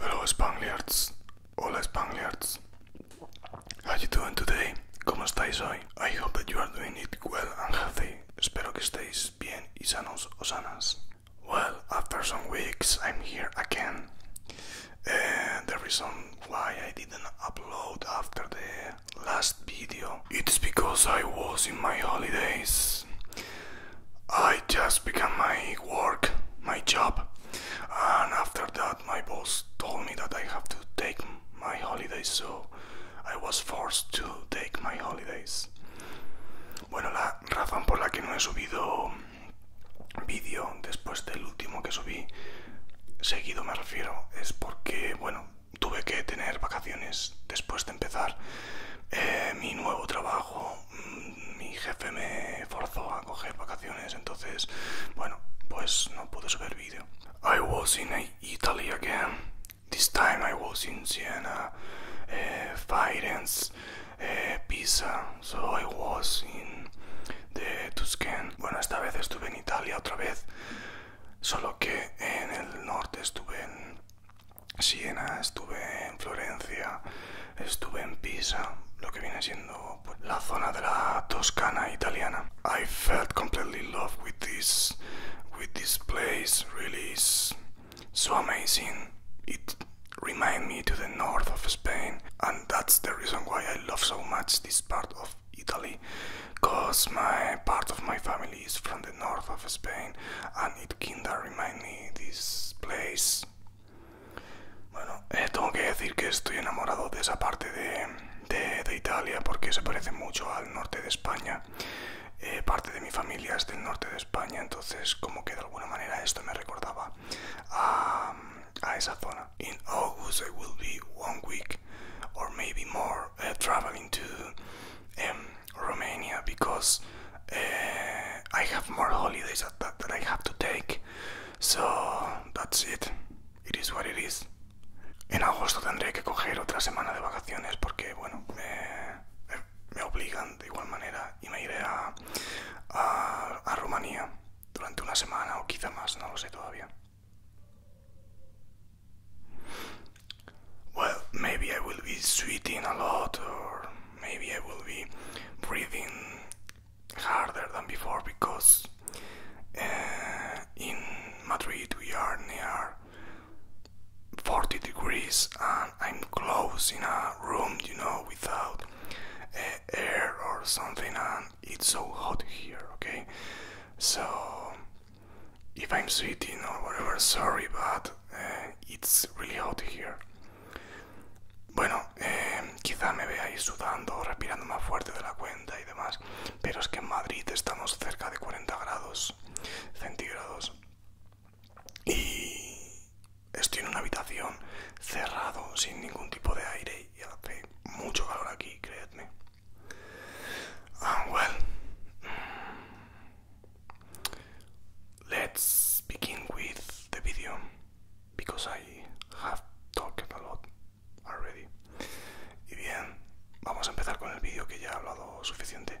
Hello Spangliards, hola Spangliards, how you doing today? ¿Cómo estáis hoy? I hope that you are doing it well and healthy. Espero que estéis bien y sanos o sanas. Well, after some weeks, I'm here again and the reason why I didn't upload after the last video it's because I was in my holidays I just began my work my job and after that my boss told me that I have to take my holidays so I was forced to take my holidays bueno la razón por la que no he subido vídeo después del último que subí seguido me refiero es porque bueno tuve que tener vacaciones después de empezar eh, mi nuevo trabajo mm, mi jefe me forzó a coger vacaciones entonces bueno pues no pude subir vídeo I was in Italy again this time I was in Siena eh, Firenze eh, Pisa so I was in the Tuscan. Bueno, esta vez estuve en Italia otra vez, solo que en el norte estuve en Siena, estuve en Florencia, estuve en Pisa, lo que viene siendo pues, la zona de la Toscana italiana. I felt completely in love with this, with this place. Really is so amazing. It remind me to the north of of Spain, and that's the reason why I love so much this part of Italy, porque my part of my family is from the north of Spain, and it kinda remind me this place. Bueno, eh, tengo que decir que estoy enamorado de esa parte de, Italia porque se parece mucho al norte de España. Eh, parte de mi familia es del norte de España, entonces como que de alguna manera esto me recordaba a, Isafona. In August, I will be one week or maybe more uh, traveling to um, Romania because uh, I have more holidays that, I have to take. So that's it. It is what it is. En agosto tendré que coger otra semana de vacaciones porque, bueno, me, eh, me obligan de igual manera and I will go to Romania durante una semana o Well, maybe I will be sweating a lot, or maybe I will be breathing harder than before because eh, in Madrid we are near 40 degrees and I'm close in a room, you know, without eh, air or something and it's so hot here okay so if i'm sweating or whatever sorry but eh, it's really hot here bueno em, quizá me veáis sudando respirando más fuerte de la cuenta y demás pero es que en madrid estamos cerca de 40 grados centígrados y, estoy en una habitación cerrado, sin ningún tipo de aire y hace mucho calor aquí, creedme. Ah, well. Let's begin with the video because I have talked a lot already. Y bien, vamos a empezar con el vídeo que ya he hablado suficiente.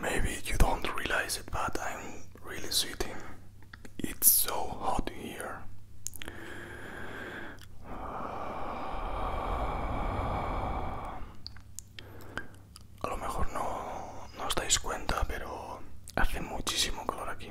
Maybe you don't realize it, but I'm really sweating. It's so hot here. A lo mejor no, no os cuenta, pero hace muchísimo calor aquí.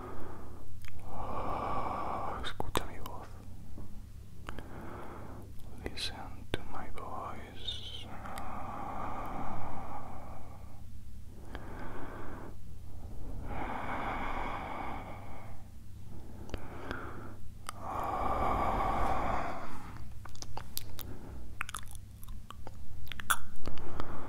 Ah, escucha Listen to my voice. Ah.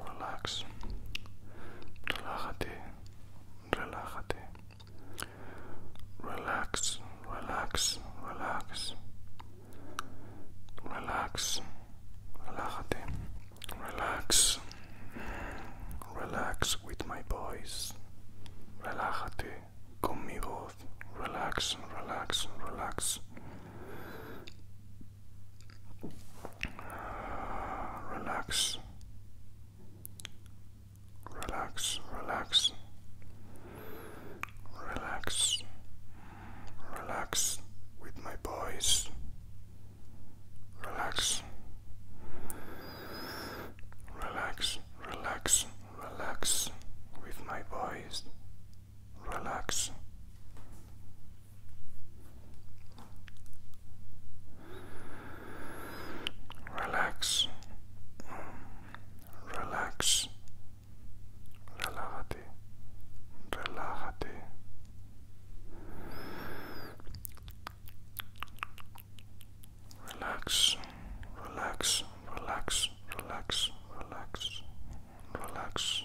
relax, relájate, relájate, relax, relax, relax, relax, relájate, relax, relax with my voice, relájate con mi voz, relax, relax, relax. Relax. Relax, relax. Relax. Relax with my boys. Relax. Relax, relax, relax with my boys. Relax. Relax, relax, relájate, relájate. Relax, relax, relax, relax, relax, relax.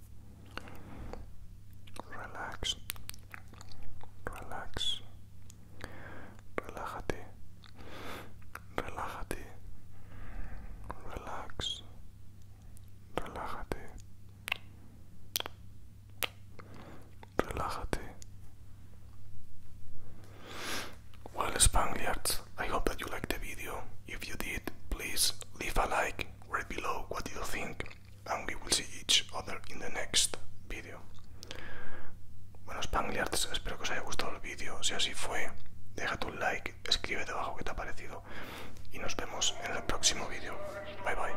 Relax, relax, relájate, relájate, relax, relájate, relájate. Well, Spaniards, I hope you liked the video. If you did, please leave a like, write below what you think, and we will see each other in the next video. Bueno, Spangliards, espero que os haya gustado el vídeo. Si así fue, déjate un like, escribe debajo qué te ha parecido y nos vemos en el próximo vídeo. Bye bye.